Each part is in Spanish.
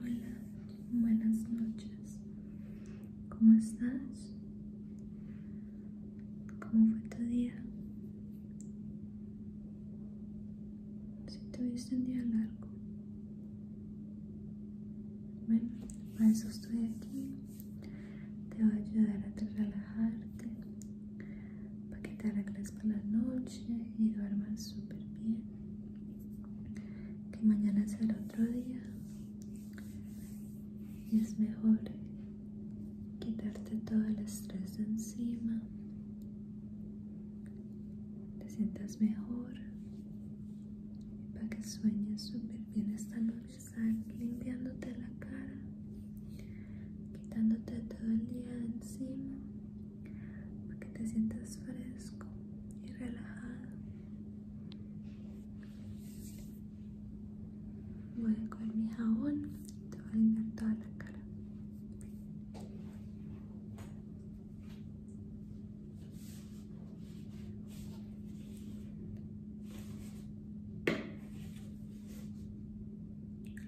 Hola, buenas noches. ¿Cómo estás? ¿Cómo fue tu día? Si tuviste un día largo. Bueno, por eso estoy aquí. Te voy a ayudar a relajarte, para que te arregles para la noche y duermas súper bien que mañana el otro día y es mejor quitarte todo el estrés de encima te sientas mejor para que sueñes súper bien esta noche limpiándote la cara quitándote todo el día de encima para que te sientas fresco y relajado. Voy a coger mi jabón y te voy a limpiar toda la cara.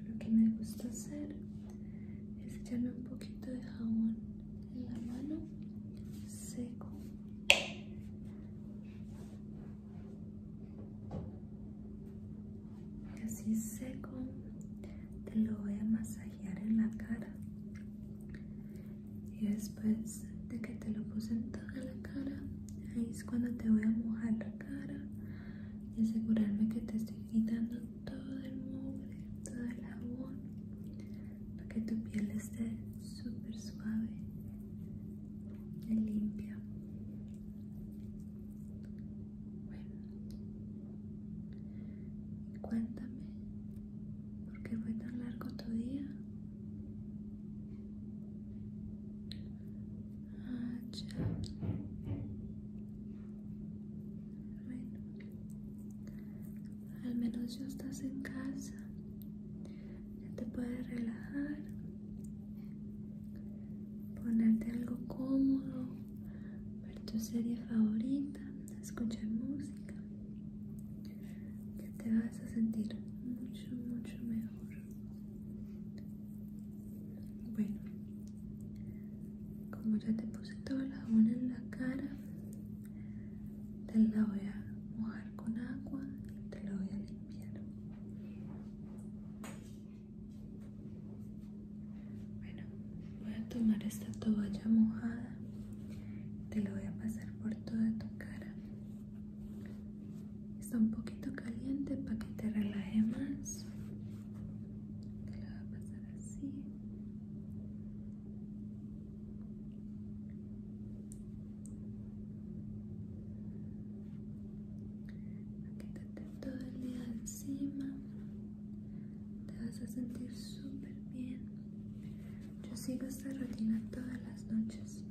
Lo que me gusta hacer es echarle un poquito de jabón en la mano seco así seco te lo voy a masajear en la cara y después de que te lo puse en toda la cara ahí es cuando te voy a mojar la cara y asegurarme que te estoy quitando todo el mueble, todo el agua para que tu piel esté súper suave y limpia. Bueno, cuéntame, ¿por qué fue tan largo tu día? Ah, bueno, al menos ya estás en casa, ya te puedes relajar, ponerte algo cómodo, ver tu serie favorita, escuchar música, que te vas a sentir mucho, mucho mejor. Bueno, como ya te puse toda la una en la cara te la voy a mojar con agua y te la voy a limpiar bueno voy a tomar esta toalla mojada te la voy a pasar por toda tu cara está un poquito caliente para que te relaje más te la va a pasar así quítate todo el día encima te vas a sentir súper bien yo sigo esta rutina todas las noches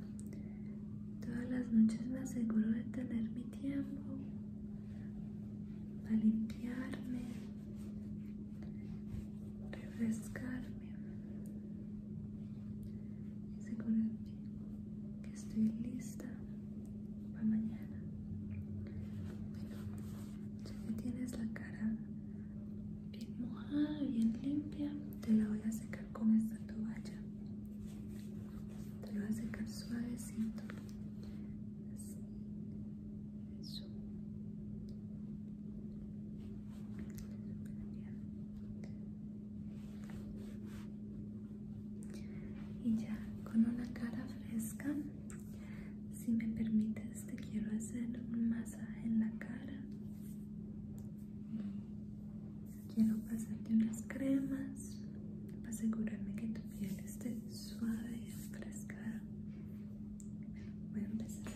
todas las noches me aseguro de tener mi tiempo a limpiarme, refrescarme. Y seguro que estoy lista para mañana. Bueno, ya que tienes la cara bien mojada, bien limpia, te la voy a secar con esta toalla. Te la voy a secar suavecito. Así. Y ya con una cara fresca, si me permites, te quiero hacer un masaje en la cara. Quiero pasarte unas cremas para asegurarme que tu piel esté suave y voy a empezar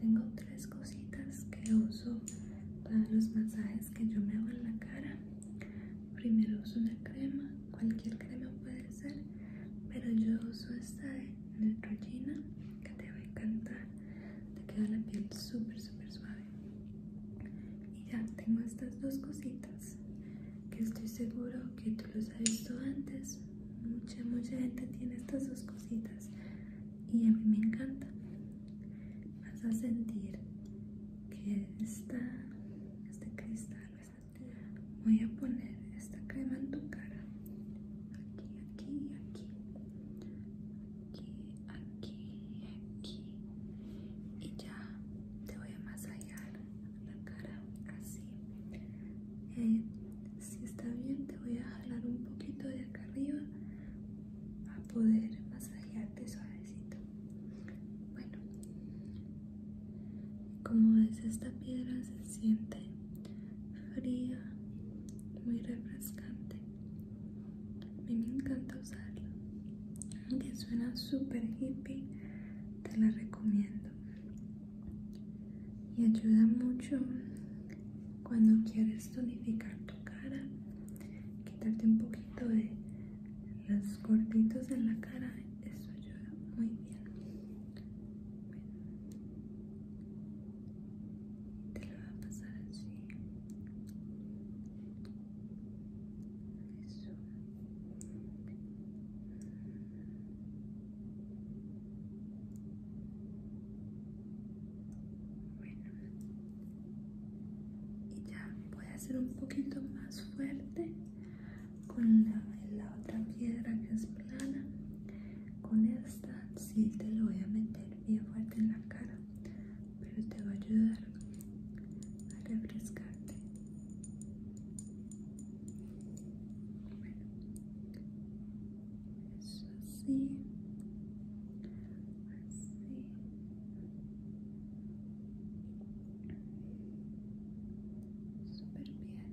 tengo tres cositas que uso para los masajes que yo me hago en la cara primero uso una crema cualquier crema puede ser pero yo uso esta de Neutrogena que te va a encantar te queda la piel súper súper suave y ya tengo estas dos cositas que estoy seguro que tú los has visto antes mucha mucha gente tiene estas dos cositas y a mí me encanta vas a sentir que está este cristal voy a poner esta crema en tu cara aquí, aquí, aquí, aquí, aquí, y ya te voy a masajear la cara así. Eh, si está bien, te voy a jalar un poquito de acá arriba a poder masajearte suavecito. Bueno, como ves, esta piedra se siente fría, muy refrescante. A me encanta usarla. que suena súper hippie, te la recomiendo. Y ayuda mucho cuando quieres tonificar tu cara, quitarte un poquito de los gorditos en la cara. Eso ayuda muy bien te lo voy a pasar así bueno y ya voy a hacer un poquito más fuerte con la otra piedra que es plana con esta Sí, te lo voy a meter bien fuerte en la cara, pero te va a ayudar a refrescarte. eso sí así. Súper bien.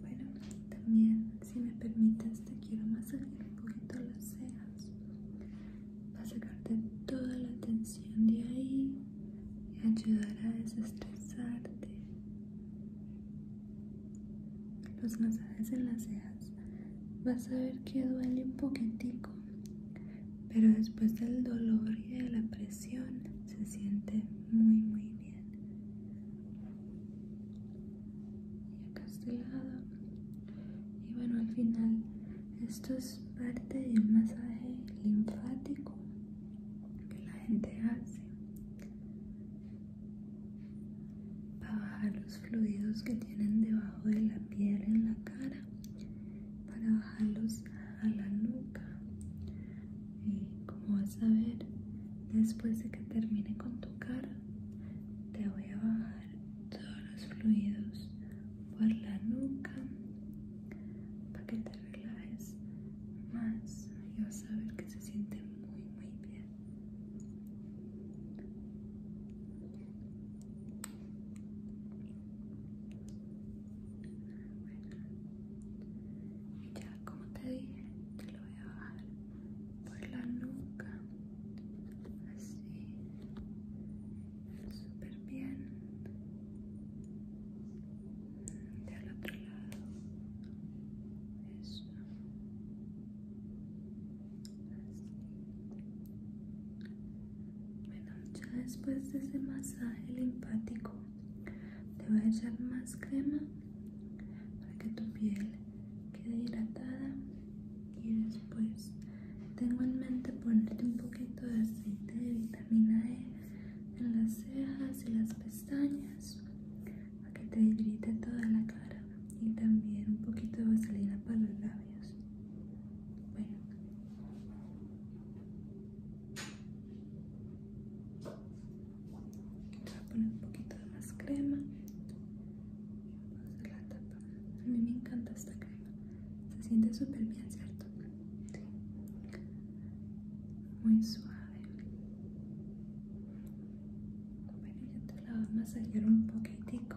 Bueno, también si me permites te quiero masajear un poquito las cejas para sacarte toda la tensión de ahí y ayudar a desestresarte. Los masajes en las cejas vas a ver que duele un poquitico pero después del dolor y de la presión se siente muy muy bien y acá este lado y bueno al final esto es parte del masaje linfático que la gente hace para bajar los fluidos que tienen debajo de la piel en la cara para bajarlos a la nuca y como vas a ver después de que termine con tu cara te voy a bajar todos los fluidos por la nuca para que te relajes más y vas a ver que se siente muy muy bien ya como te dije, te lo voy a bajar por la nuca, así, súper bien, al otro lado, eso, bueno, ya después de ese masaje linfático te voy a echar más crema para que tu piel quede hidratada y después tengo en mente ponerte un poquito de aceite de vitamina E en las cejas y las pestañas para que te hidrate toda la cara y también un poquito de vaselina para los labios bueno Voy a poner un poquito de más crema. Vamos a la tapa. A mí me encanta esta crema. Se siente súper bien, ¿cierto? Muy suave. Bueno, yo te la voy a masajear un poquitico.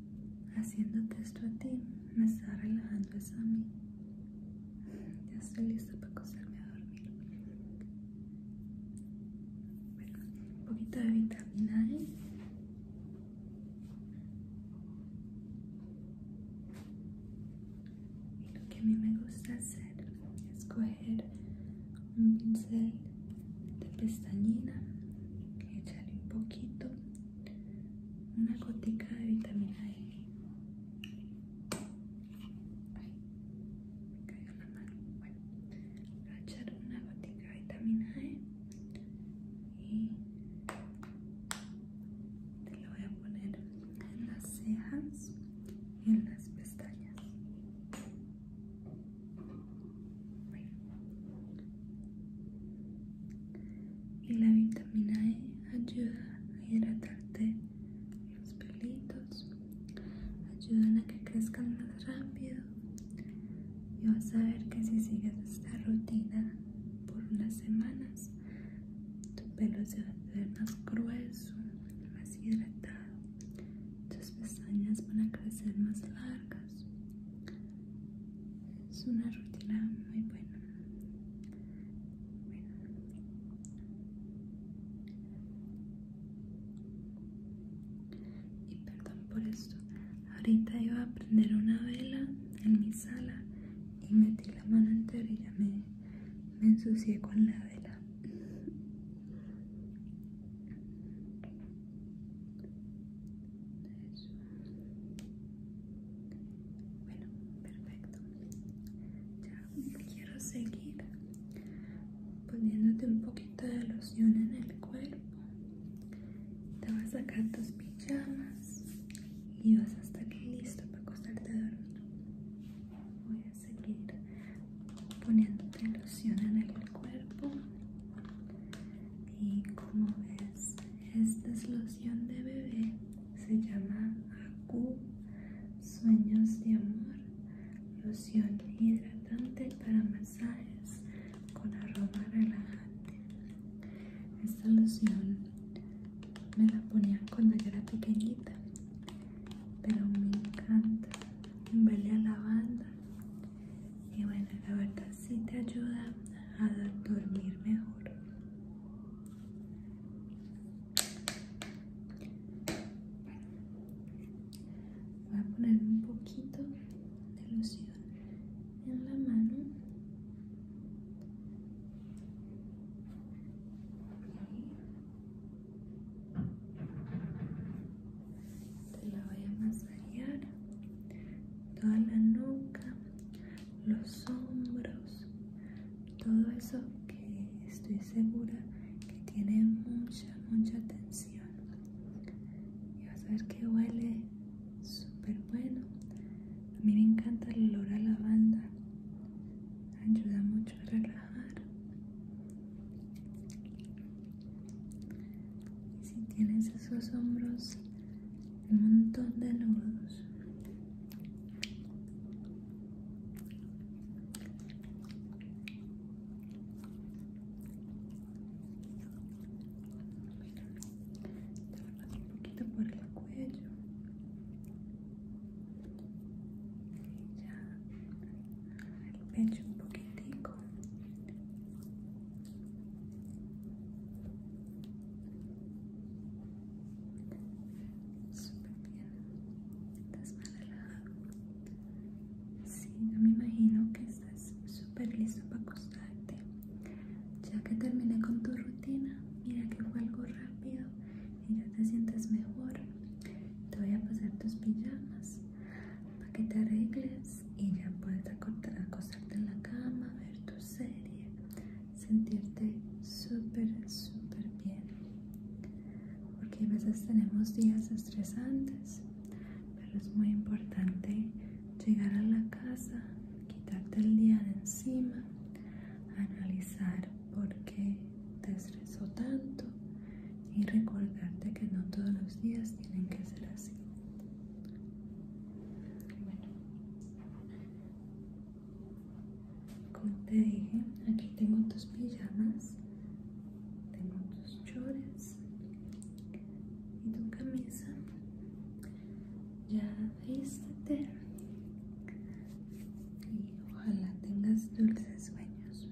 haciéndote esto a ti me está relajando esa a mí ya estoy lista para acostarme a dormir un poquito de vitamina e. y lo que a mí me gusta hacer es coger un pincel de pestañina echarle un poquito una gotica de vitamina E. Ay, me cayó la mano. Bueno, voy a echar una gotica de vitamina E y te lo voy a poner en las cejas y en las pestañas. Y la vitamina E ayuda a hidratarte los pelitos, ayudan a que crezcan más rápido. Y vas a ver que si sigues esta rutina por unas semanas, tu pelo se va a hacer más grueso, más hidratado, tus pestañas van a crecer más largas es una rutina muy buena. Y perdón por esto. Ahorita iba a prender una vela en mi sala y metí la mano entera y ya me ensucié con la vela. Bueno, perfecto. Ya quiero seguir poniéndote un poquito de loción en el cuerpo. Te vas a sacar tus pijamas y vas a estar listo para acostarte a Voy a seguir poniéndote loción en el cuerpo y como ves esta es loción de bebé, se llama Acu Sueños de Amor, loción hidratante para masajes con aroma relajante. Esta loción me la ponían cuando yo era pequeñita, pero me encanta, huele a banda y bueno la verdad sí te ayuda a dormir mejor voy a poner un poquito de loción en la mano te la voy a masajear toda la nuca, los hombros, todo eso que estoy segura que tiene mucha, mucha tensión. Y vas a ver que huele súper bueno. A mí me encanta el olor a lavanda, ayuda mucho a relajar. Y si tienes esos hombros un montón de nudos un poquito por el cuello ya el pecho un poquitico Súper bien. Estás más relajado. Sí, yo me imagino que estás súper listo para acostarte. Ya que terminé con tu rutina, mira que fue algo rápido y ya te sientes mejor. Te voy a pasar tus pijamas para que te arregles y ya puedes acostarte en la cama, ver tu serie sentirte súper súper bien porque a veces tenemos días estresantes pero es muy importante llegar a la casa quitarte el día de encima analizar por qué te estresó tanto y recordarte que no todos los días tienen que ser así bueno. Como te dije, aquí tengo tus pijamas, tengo tus chores y tu camisa. Ya vístete y ojalá tengas dulces sueños.